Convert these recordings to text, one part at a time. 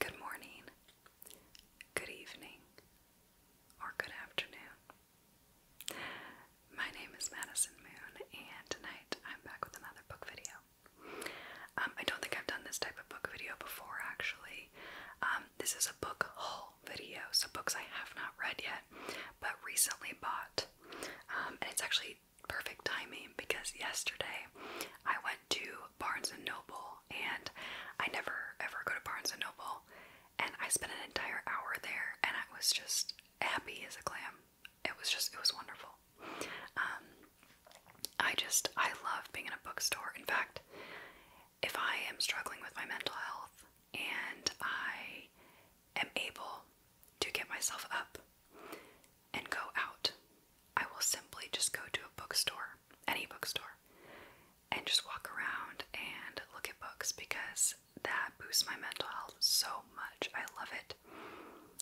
Good morning, good evening, or good afternoon. My name is Madison Moon, and tonight I'm back with another book video. Um, I don't think I've done this type of book video before, actually. Um, this is a book haul video, so books I have not read yet, but recently bought. Um, and it's actually perfect timing because yesterday I went to Barnes and Noble, and I never ever go to Barnes and Noble, and I spent an entire hour there, and I was just happy as a clam. It was just, it was wonderful. Um, I just, I love being in a bookstore. In fact, if I am struggling with my mental health, and I am able to get myself up and go out, I will simply just go to a bookstore, any bookstore, and just walk around and look at books because that boosts my mental health so much. I love it.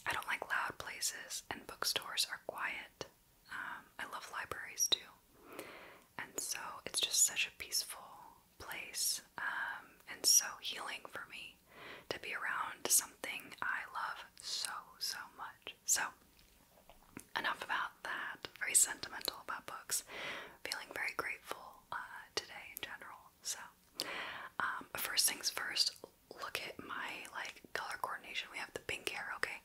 I don't like loud places, and bookstores are quiet. Um, I love libraries too. And so it's just such a peaceful place um, and so healing for me to be around something I love so, so much. So, enough about that. Very sentimental about books. Feeling very grateful uh, today in general. So, um, first things first, look at my like color coordination. We have the pink hair, okay?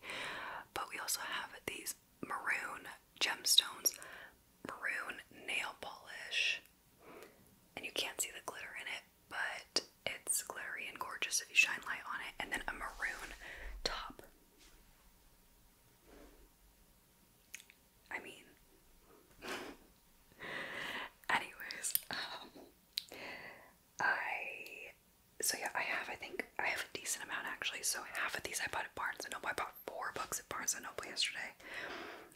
But we also have these maroon gemstones, maroon nail polish, and you can't see the glitter in it, but it's glittery and gorgeous if you shine light on it, and then a maroon top. I mean, anyways, um, I so yeah, I have I think I have a decent amount actually. So half of these I bought at Barnes and Noble four books at Barnes and Noble yesterday.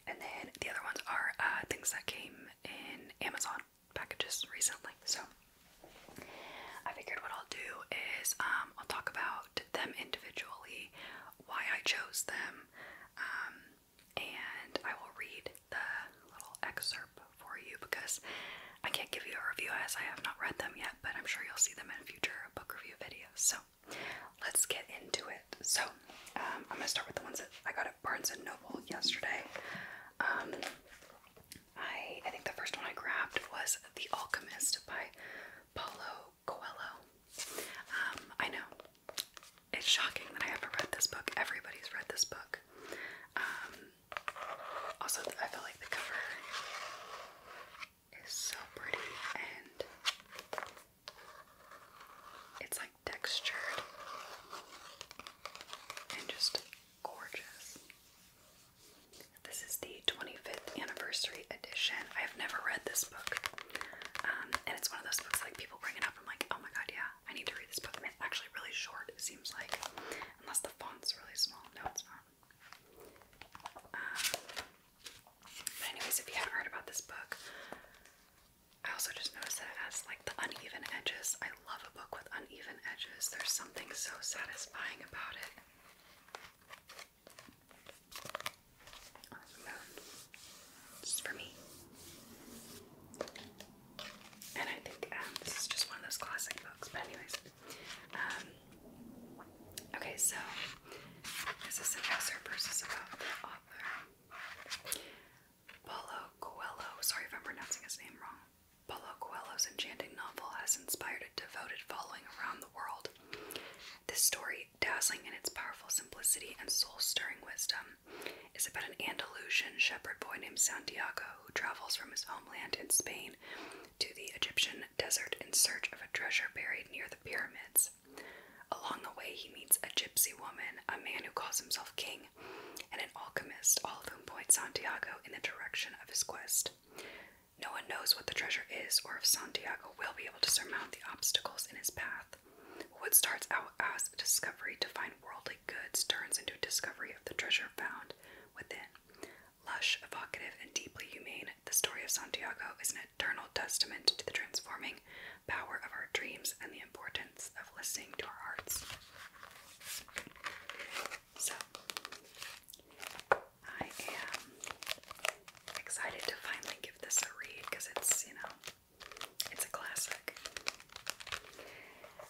And then the other ones are uh, things that came in Amazon packages recently. So I figured what I'll do is um, I'll talk about them individually, why I chose them, um, and I will read the little excerpt for you because I can't give you a review as I have not read them yet, but I'm sure you'll see them in future book review videos. So let's get into it. So, um, I'm gonna start with the ones that I got at Barnes and Noble yesterday. Um, I I think the first one I grabbed was The Alchemist by Paulo Coelho. Um, I know it's shocking that I haven't read this book. Everybody's read this book. also, I feel like the cover it's so pretty and it's like textured and just gorgeous. This is the 25th anniversary edition. I have never read this book. Um, and it's one of those books like people bring it up. I'm like, oh my god, yeah, I need to read this book. it's actually really short, it seems like. Unless the font's really small. No, it's not but um, anyways, if you haven't heard about this book, I also just noticed that it has like the uneven edges. I love a book with uneven edges. There's something so satisfying about it. Oh, this is for me. And I think um, this is just one of those classic books. But anyways, um, Okay, so this is an excerpt versus about the author. Paulo Coelho, sorry if I'm pronouncing his name wrong. Paulo Coelho's enchanting novel has inspired a devoted following around the world. This story, dazzling in its powerful simplicity and soul-stirring wisdom, is about an Andalusian shepherd boy named Santiago who travels from his homeland in Spain to the Egyptian desert in search of a treasure buried near the pyramids. Along the way, he meets a gypsy woman, a man who calls himself king, and an alchemist, all of whom point Santiago in the direction of his quest. No one knows what the treasure is or if Santiago will be able to surmount the obstacles in his path. What starts out as a discovery to find worldly goods turns into a discovery of the treasure found within, Lush, evocative, and deeply humane, the story of Santiago is an eternal testament to the transforming power of our dreams and the importance of listening to our hearts. So, I am excited to finally give this a read because it's, you know, it's a classic.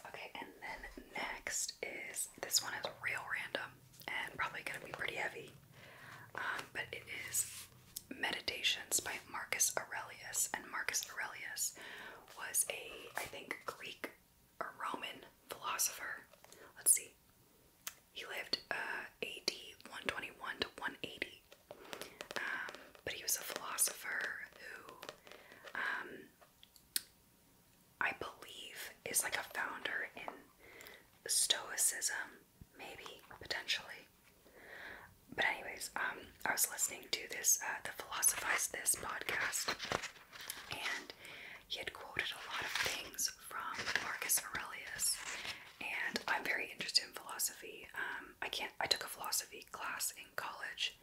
Okay, and then next is this one is real random and probably going to be pretty heavy. Um, but it is Meditations by Marcus Aurelius, and Marcus Aurelius was a, I think, Greek or Roman philosopher. Let's see. He lived uh, AD 121 to 180. Um, but he was a philosopher who, um, I believe, is like a founder in Stoicism maybe potentially. But anyways, um, I was listening to this uh, the Philosophize This podcast, and he had quoted a lot of things from Marcus Aurelius, and I'm very interested in philosophy. Um, I can't. I took a philosophy class in college,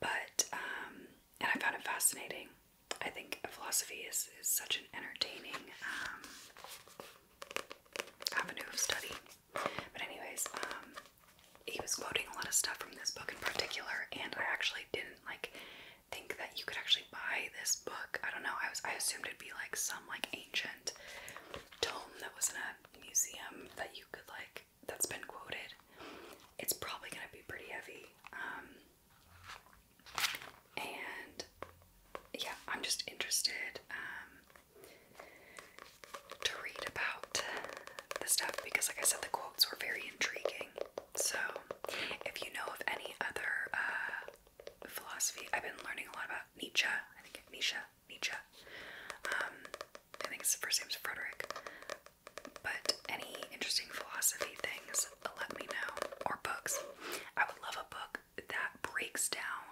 but um, and I found it fascinating. I think philosophy is, is such an entertaining um, avenue of study. But, anyways, um, he was quoting a lot of stuff from this book in particular, and I actually didn't like think that you could actually buy this book. I don't know. I was I assumed it'd be like some like ancient tome that was in a museum that you could like that's been quoted. It's probably gonna be pretty heavy. Um, and yeah, I'm just interested um, to read about the stuff because, like I said, the quotes were very intriguing. So, if you know of any other uh, philosophy, I've been learning a lot about Nietzsche. I think Nietzsche, Nietzsche. Um, I think his first name's Frederick. But any interesting philosophy things let me know. Or books. I would love a book that breaks down,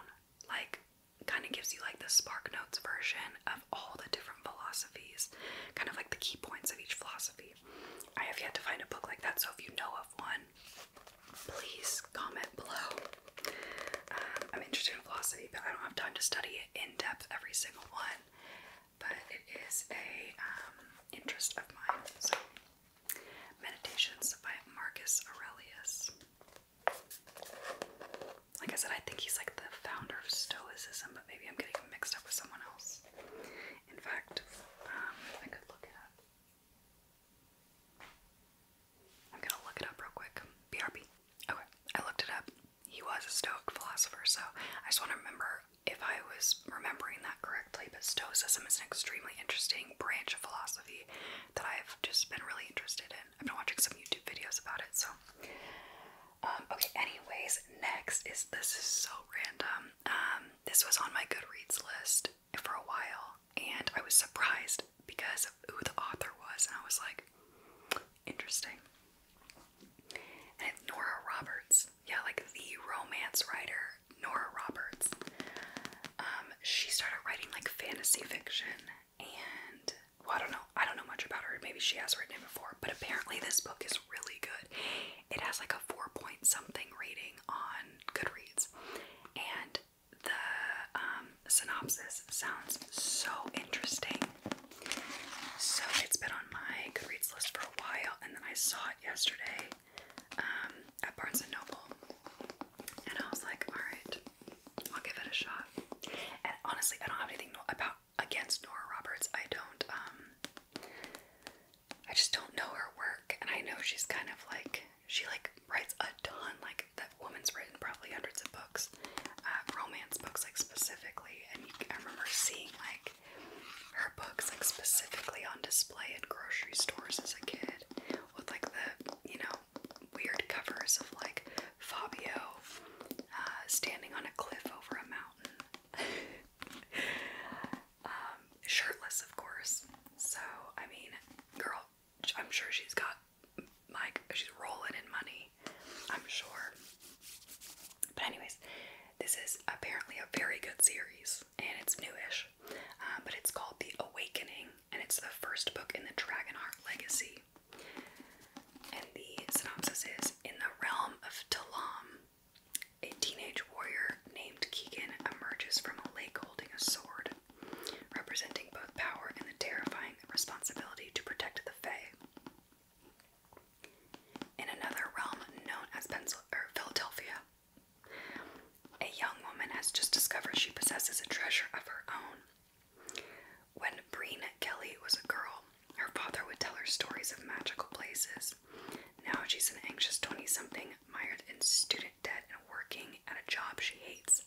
like, kind of gives you like the Spark Notes version of all the different philosophies, kind of like the key points of each philosophy. I have yet to find a book like that, so if you know of one, please comment below. Um, I'm interested in philosophy, but I don't have time to study it in depth every single one. But it is a um, interest of mine, so Meditations by Marcus Aurelius. Like I said, I think he's like the founder of Stoicism, but maybe I'm getting mixed up with someone else. In fact, um, I could look it up. I'm gonna look it up real quick. BRB. Okay, I looked it up. He was a Stoic philosopher, so I just want to remember if I was remembering that correctly, but Stoicism is an extremely interesting branch of philosophy that I've just been really interested in. I've been watching some YouTube videos about it, so. Um, okay, anyways, next is this is so random. Um, this was on my Goodreads list for a while, and I was surprised because of who the author was, and I was like, interesting. Nora Roberts yeah, like the romance writer Nora Roberts. Um, she started writing like fantasy fiction, and I don't know, I don't know much about her. Maybe she has written it before, but apparently this book is really good. It has like a four point something rating on Goodreads, and the um, synopsis sounds so interesting. So it's been on my Goodreads list for a while, and then I saw it yesterday um, at Barnes and Noble, and I was like, all right, I'll give it a shot. And honestly, I don't have anything about against Nora Roberts. I don't. Um, I just don't know her work, and I know she's kind of like she like writes a ton. Like that woman's written probably hundreds of books, uh, romance books, like specifically. And you, I remember seeing like her books like specifically on display in grocery stores as a kid with like the you know weird covers of like Fabio uh, standing on a cliff over a mountain. Um, shirtless, of course. So I mean, girl, I'm sure she's got like she's rolling in money. I'm sure. But anyways, this is apparently a very good series and it's newish, uh, but it's called The Awakening, and it's the first book in the Dragonheart Legacy. And the synopsis is In the realm of Talam, a teenage warrior named Keegan emerges from a lake holding a sword, representing both power and the terrifying responsibility to protect the Fae. In another realm known as Pensil or Philadelphia, a young woman has just discovered she possesses a treasure of her own. When Breen Kelly was a girl, her father would tell her stories of magical places. Now she's an anxious 20 something, mired in student debt and working at a job she hates.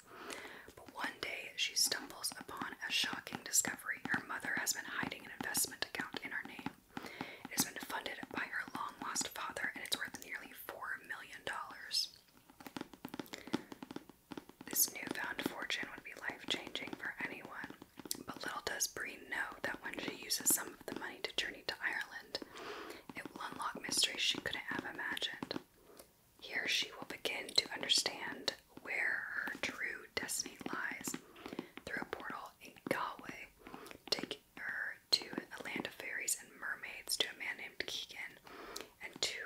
But one day she stumbles upon a shocking discovery. Her mother has been hiding an investment account in her name. It has been funded by her long lost father and it's worth nearly four million dollars. This newfound fortune would be life changing for anyone, but little does Bree know that when she uses some of the money to journey to Ireland, it will unlock mysteries she couldn't have imagined. Here she will begin to understand where her true destiny lies through a portal in Galway, take, to a land of fairies and mermaids, to a man named Keegan, and to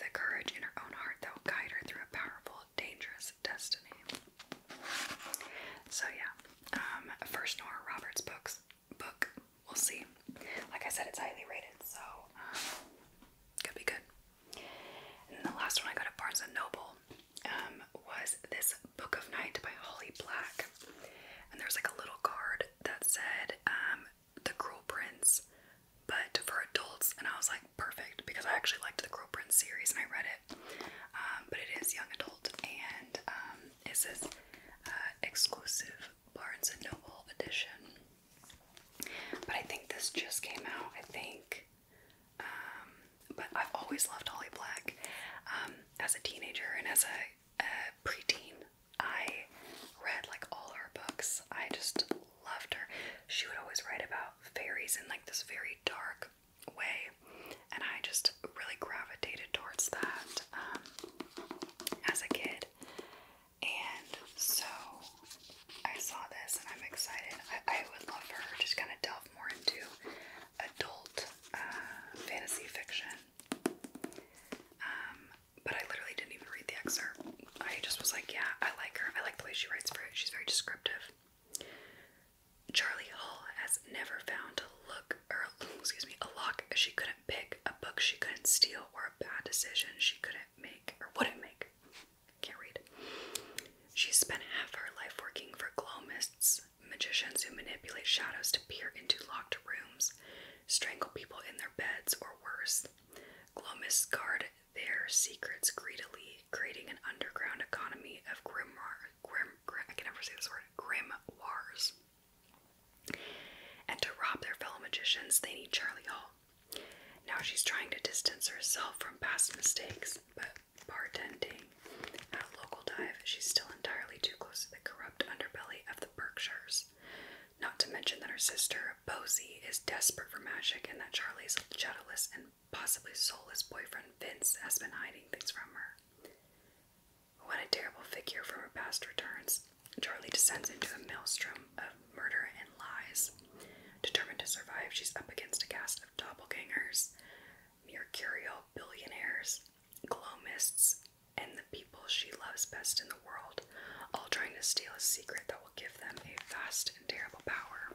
the courage in her own heart that will guide her through a powerful, dangerous destiny. So yeah, um, first Nora Roberts books book. We'll see. Like I said, it's highly rated, so um, could be good. And the last one I got at Barnes and Noble. Um, was this Book of Night by Holly Black. And there's like a little card that said um, The Cruel Prince, but for adults. And I was like, perfect, because I actually liked the Cruel Prince series and I read it. Um, but it is young adult and it says uh, exclusive Barnes and Noble edition. But I think this just came out, I think but I've always loved Holly Black. Um, as a teenager and as a, a preteen, I read like all her books. I just loved her. She would always write about fairies in like this very dark way, and I just really gravitated towards that um, as a kid. And so I saw this, and I'm excited. I, I would love for her to just kind of delve more into adult uh, fantasy fiction. Um, but I literally didn't even read the excerpt. I just was like, yeah, I like her. I like the way she writes for it. She's very descriptive. Charlie Hull has never found a look, or excuse me, a lock she couldn't pick, a book she couldn't steal, or a bad decision she couldn't make, or wouldn't make. Can't read. She spent half her life working for glow mists, magicians who manipulate shadows to peer into locked rooms, strangle people in their beds, or worse. Glomists guard their secrets greedily, creating an underground economy of grimoire, grim, grim, I can never say this word, grimoires. And to rob their fellow magicians, they need Charlie Hall. Now she's trying to distance herself from past mistakes, but bartending at local dive, she's still entirely too close to the corrupt underbelly of the Berkshires. Not to mention that her sister, Posey, is desperate for magic and that Charlie's shadowless and possibly soulless boyfriend, Vince, has been hiding things from her. When a terrible figure from her past returns. Charlie descends into a maelstrom of murder and lies. Determined to survive, she's up against a cast of doppelgangers, mercurial billionaires, glow mists, and the people she loves best in the world, all trying to steal a secret that will give them a vast and terrible power.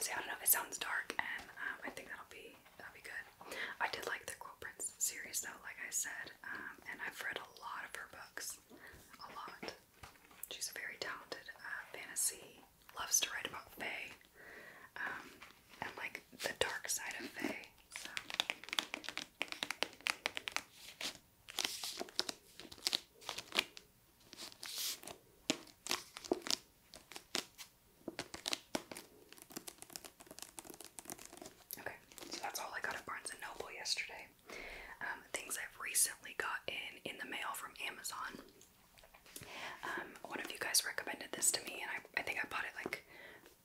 See, I don't know. if It sounds dark, and um, I think that'll be that'll be good. I did like the Quill Prince series, though, like I said, um, and I've read a lot of her books, a lot. She's a very talented uh, fantasy loves to write about Faye um, and like the dark side of Faye. Okay, so that's all I got at Barnes and Noble yesterday. Um, things I've recently gotten in the mail from Amazon. Um, one of you guys recommended this to me, and I, think I bought it like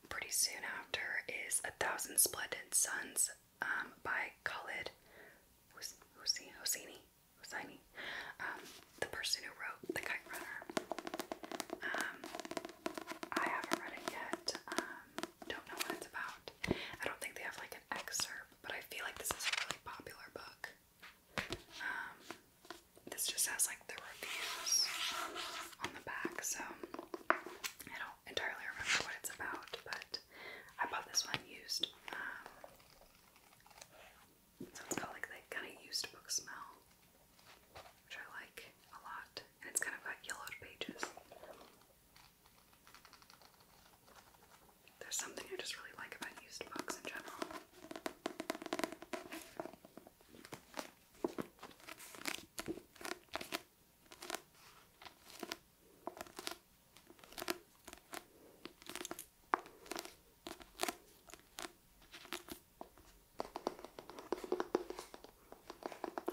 pretty soon after. Is A Thousand Splendid Suns um, by Khalid Hosseini. Um, the person who wrote The Kite Runner. I haven't read it yet. don't know what it's about. I don't think they have like an excerpt, but I feel like this is a really popular book. Um, this just has like the reviews on the back, so I don't entirely remember what it's about, but I bought this one used. Um, so it's got like that kind of used book smell, which I like a lot, and it's kind of got yellowed pages. There's something I just really like about used books in general.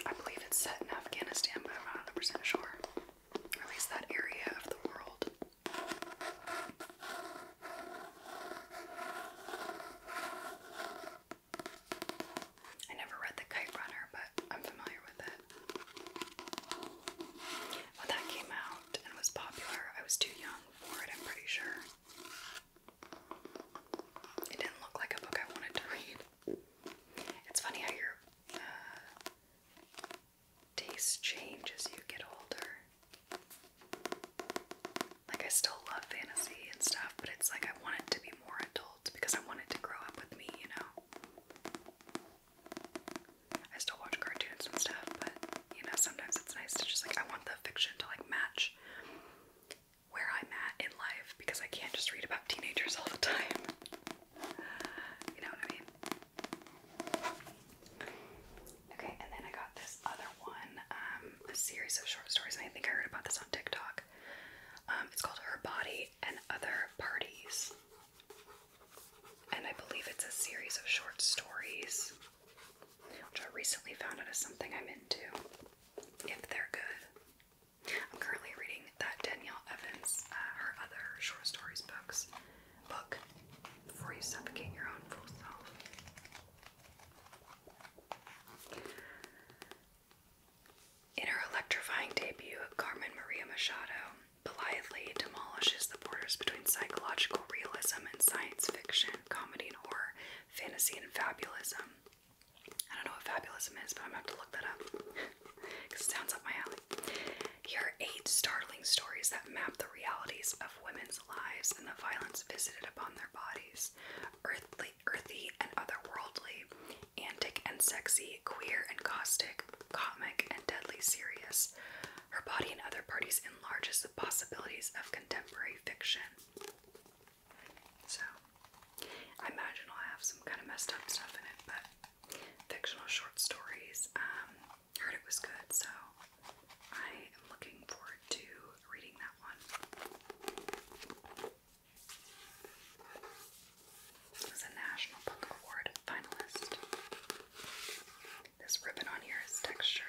I believe it's set in Afghanistan, but I'm not 100% sure. at least that area of the world. I never read The Kite Runner, but I'm familiar with it. When that came out and was popular, I was too young for it, I'm pretty sure. It didn't look like a book I wanted to read. It's funny how you're. Uh, tastes change as you get older. Like I still love fantasy and stuff, but it's like I want it to be more adult because I want it to grow up with me, you know. I still watch cartoons and stuff, but you know, sometimes it's nice to just like I want the fiction to like match where I'm at in life because I can't just read about teenagers all the time. You know what I mean? Okay, and then I got this other one, um, a series of short stories, I think I heard about this on TikTok. Um, it's called Her Body and Other Parties. And I believe it's a series of short stories, which I recently found out is something I'm into, if they're good. I'm currently reading that Danielle Evans, uh, her other short stories books before you suffocate your own full self. In her electrifying debut, Carmen Maria Machado politely demolishes the borders between psychological realism and science fiction, comedy and horror, fantasy and fabulism. I don't know what fabulism is, but I'm gonna have to look that up it sounds up my alley. Here are eight startling stories that map the realities of women's lives and the violence visited upon their bodies. Earthly, earthy and otherworldly, antic and sexy, queer and caustic, comic and deadly serious. Her body and other parties enlarges the possibilities of contemporary fiction. So, I imagine I'll have some kind of messed up stuff in it, but fictional short stories. Um, heard it was good, so I am looking forward to reading that one. It was a National Book Award finalist. This ribbon on here is textured.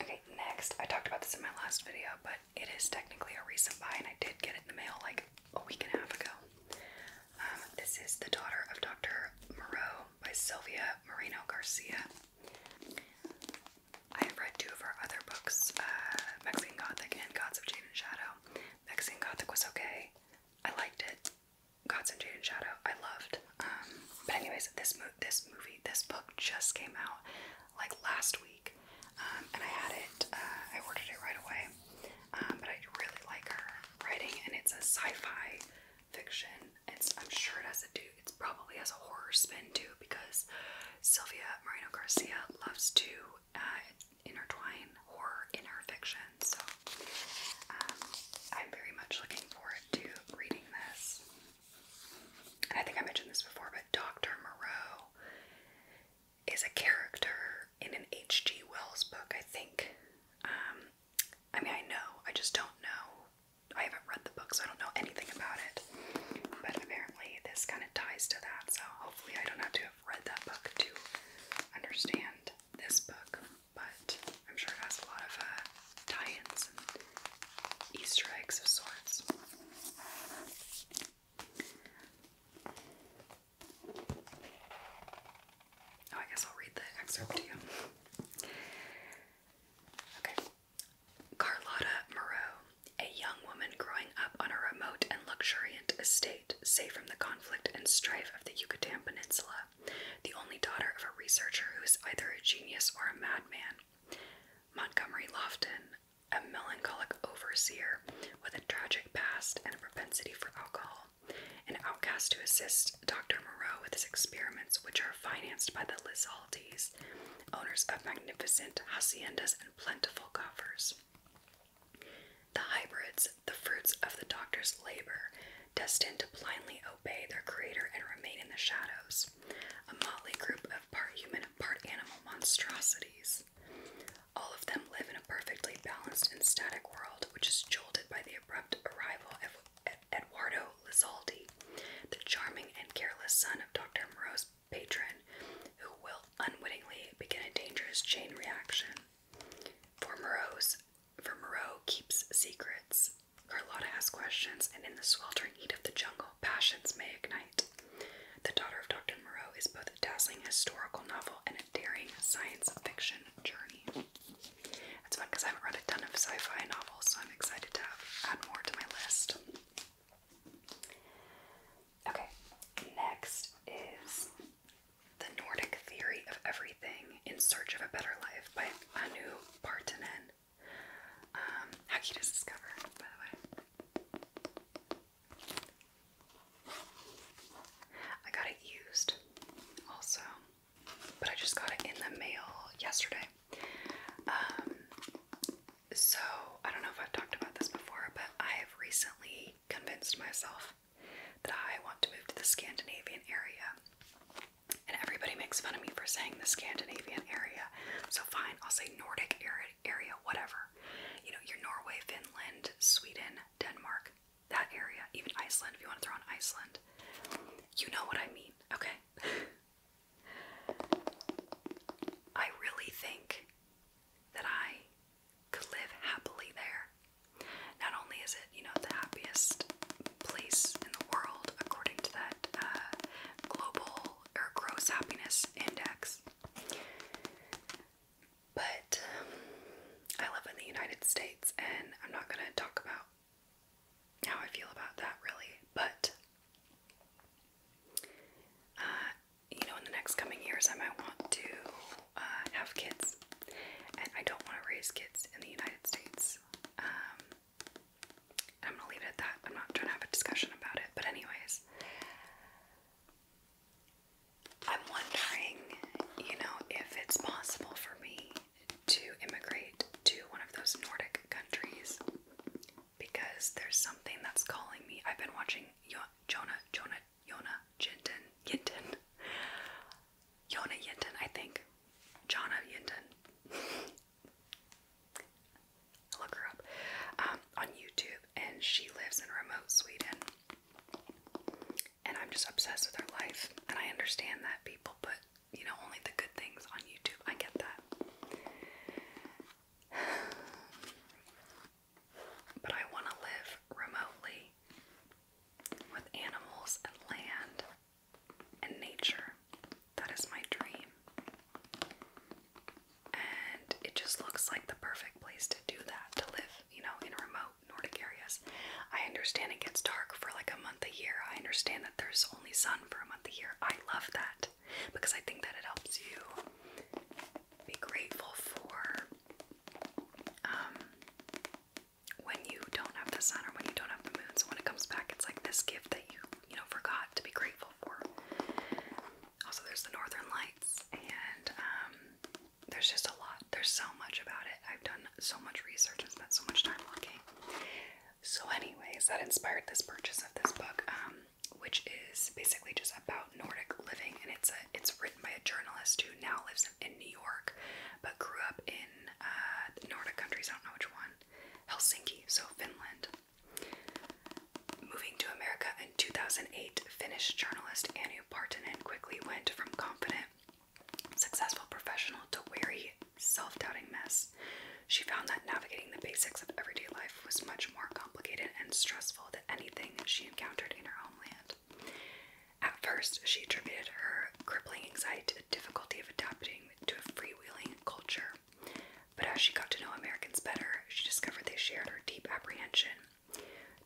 Okay, next, I talked about this in my last video, but it is technically a recent buy, and I did get it in the mail like a week and a half ago. Um, this is The Daughter of Dr. Moreau by Sylvia Moreno Garcia. I have read two of her other books, uh, Mexican Gothic and Gods of Jade and Shadow. Mexican Gothic was okay. I liked it. Gods of Jade and Shadow, I loved. Um, but anyways, this movie, this book just came out like last week. Um, and I had it. Uh, I ordered it right away, um, but I really like her writing, and it's a sci-fi fiction. It's I'm sure it has a do. It's probably has a horror spin too, because Sylvia Moreno Garcia loves to uh, intertwine horror in her fiction. So um, I'm very much looking forward to reading this. And I think I mentioned this before, but Dr. Moreau is a character in an H.G. Wells book, I think. Um, I mean, I know, I just don't know. I haven't read the book, so I don't know anything about it. But apparently, this kind of ties to that, so hopefully, I don't have to have read that book to understand this book. But I'm sure it has a lot of uh, tie ins Easter eggs of sorts. Oh, I guess I'll read the excerpt to you. Okay. Carlotta Moreau, a young woman growing up on a remote and luxuriant estate, safe from the conflict and strife of the Yucatan Peninsula, the only daughter of a researcher who is either a genius or a madman. Montgomery Lofton, a melancholic overseer with a tragic past and a propensity for alcohol, an outcast to assist Dr. Moreau with his experiments, which are financed by the Lizaldes, owners of magnificent haciendas and plentiful coffers. The hybrids, the fruits of the doctor's labor, destined to blindly obey their creator and remain in the shadows, a motley group of part human, part animal monstrosities. All of them live in a perfectly balanced and static world, which is jolted by the abrupt arrival of Eduardo Lizaldi, the charming and careless son of Dr. Moreau's patron, who will unwittingly begin a dangerous chain reaction. For Moreau's, Moreau keeps secrets. Carlotta asks questions, and in the sweltering heat of the jungle, passions may ignite. The Daughter of Dr. Moreau is both a dazzling historical novel and a daring science fiction journey. That's fun because I have read a ton of sci fi novels, so I'm excited to add more to my list. Okay, next is The Nordic Theory of Everything in Search of a Better Life by Anu Partanen. Um, how cute is this by the way? I got it used also, but I just got it in the mail yesterday. Um, so I don't know if I've talked about this before, but I have recently convinced myself that I want to move to the Scandinavian area. And everybody makes fun of me for saying the Scandinavian area. So fine, I'll say Nordic area, whatever. You know, your Norway, Finland, Sweden, Denmark, that area, even Iceland, if you want to throw in Iceland. You know what I mean, okay? I really think that I could live happily there. Not only is it, you know, the happiest place in the world according to that uh, global or gross happiness index, but I live in the United States, and I'm not going to talk about how I feel about that really. But, uh, you know, in the next coming years, I might want to uh, have kids, and I don't want to raise kids in the United States. Um, I'm gonna leave it at that. I'm not trying to have a discussion about it, but, anyways, I'm wondering, you know, if it's possible for me to immigrate to one of those Nordic countries because there's something that's calling me. I've been watching Yo Jonah, Jonah, Jonah Yinton, Yinton, Jonah Yinton, I think. Jonah Yinton look her up um, on YouTube, and she lives in remote Sweden. And I'm just obsessed with her life, and I understand that people put, you know, only the good things on YouTube. I get that. But I want to live remotely with animals and land and nature. That is my dream. And it just looks like the perfect place to do that, to live, you know, in remote Nordic areas. I understand it gets dark for like a month a year. I understand that there's only sun for a month a year. I love that because I think that it helps you be grateful for um, when you don't have the sun or when you don't have the moon. So when it comes back, it's like this gift that you, you know, forgot to be grateful for. Also, there's the Northern Lights, and um, there's just a lot. There's so much about it. I've done so much research and spent so much time looking. So, anyways, that inspired this purchase of this book, um, which is basically just about Nordic living, and it's a it's written by a journalist who now lives in, New York, but grew up in uh, Nordic countries. I don't know which one, Helsinki, so Finland. Moving to America in 2008, Finnish journalist Anu Partinen quickly went from confident, successful professional to wary, self doubting mess. She found that navigating the basics of everyday life was much more complicated and stressful than anything she encountered in her homeland. At first, she attributed her crippling anxiety to the difficulty of adapting to a freewheeling culture but as she got to know Americans better, she discovered they shared her deep apprehension.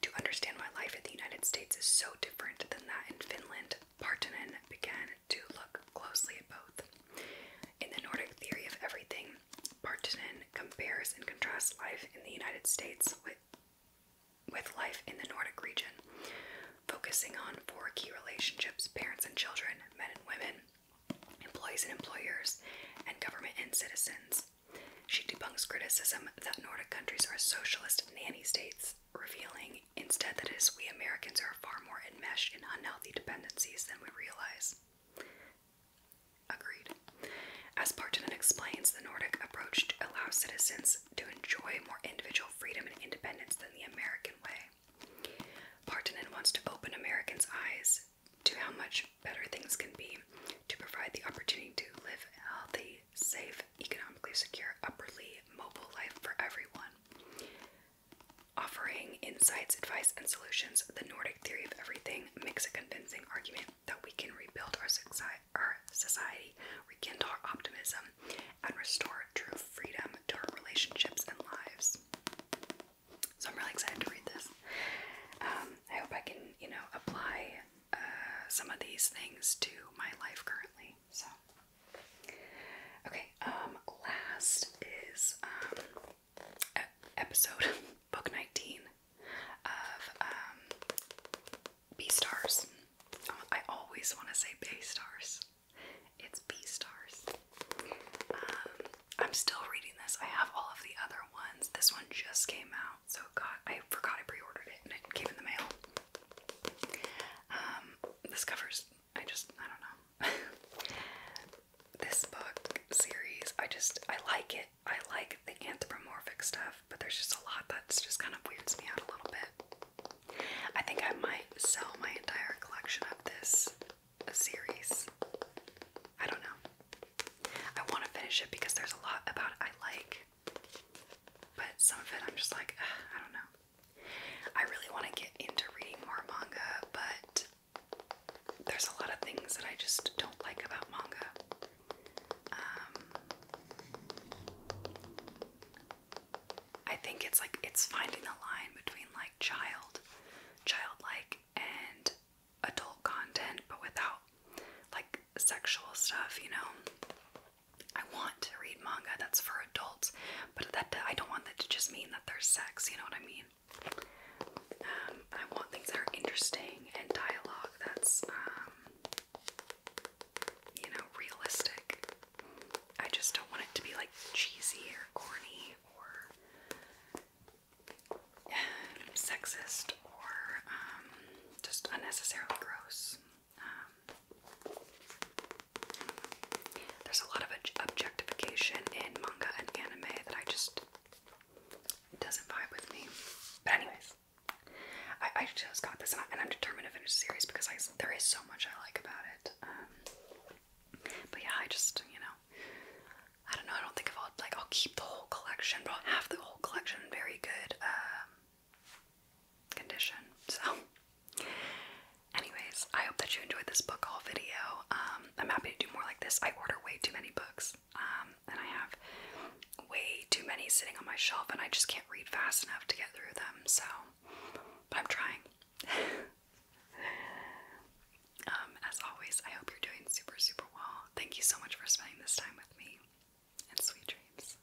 To understand why life in the United States is so different than that in Finland, Partanen began to look closely at both. In the Nordic theory of everything, Partanen compares and contrasts life in the United States with, with life in the Nordic region, focusing on four key relationships parents and children, men and women, employees and employers, and government and citizens. She debunks criticism that Nordic countries are socialist nanny states, revealing instead that we Americans are far more enmeshed in unhealthy dependencies than we realize. Agreed. As Partonen explains, the Nordic approach allows citizens to enjoy more individual freedom and independence than the American way. Partonen wants to open Americans' eyes to how much better things can be to provide the opportunity to live a healthy, safe, economically secure, upwardly mobile life for everyone. Offering insights, advice, and solutions, the Nordic theory of everything makes a convincing argument that we can rebuild our, society, our society, rekindle our optimism, and restore true freedom to our relationships and lives. So I'm really excited to read this. Um, I hope I can, you know, apply uh, some of these things to my life currently. So, okay. Um, last is um, episode book 19 of um, B Stars. I always want to say B Stars. It's B Stars. Um, I'm still reading this. I have all of the other ones. This one just came out, so I forgot I pre-ordered it and it came in the mail. Um, this covers. I just I don't know. this book series, I just I like it. I like the anthropomorphic stuff, but there's just a lot that's just kind of weirds me out a little bit. I think I might sell my entire collection of this a series. I don't know. I want to finish it because there's a lot about I like, but some of it I'm just like, I don't know. I really want to get into reading more manga, but there's a lot of things that I just don't like about manga. Um, I think it's like it's finding the line between like child, childlike, and adult content, but without like sexual stuff, you know. I want to read manga that's for adults, but that I don't want that to just mean that there's sex, you know what I mean? Um, I want things that are interesting and dialogue that's, um, you know, realistic. I just don't want it to be like cheesy or corny or um, sexist or um, just unnecessarily gross. Um, there's a lot of objectification in manga and anime that I just doesn't vibe with me. But anyways, I, I just got this, and, I, am determined to finish the series because I, there is so much I like about it. Um, but yeah, I just you know I don't know, I don't think I'll like I'll keep the whole collection, but half the whole collection in very good um, condition. So anyways, I hope that you enjoyed this book haul video. Um, I'm happy to do more like this. I order way too many books. Um, and I have way too many sitting on my shelf and I just can't read fast enough to get through them. So but I'm trying. Um, as always, I hope you're doing super, super well. Thank you so much for spending this time with me, and sweet dreams.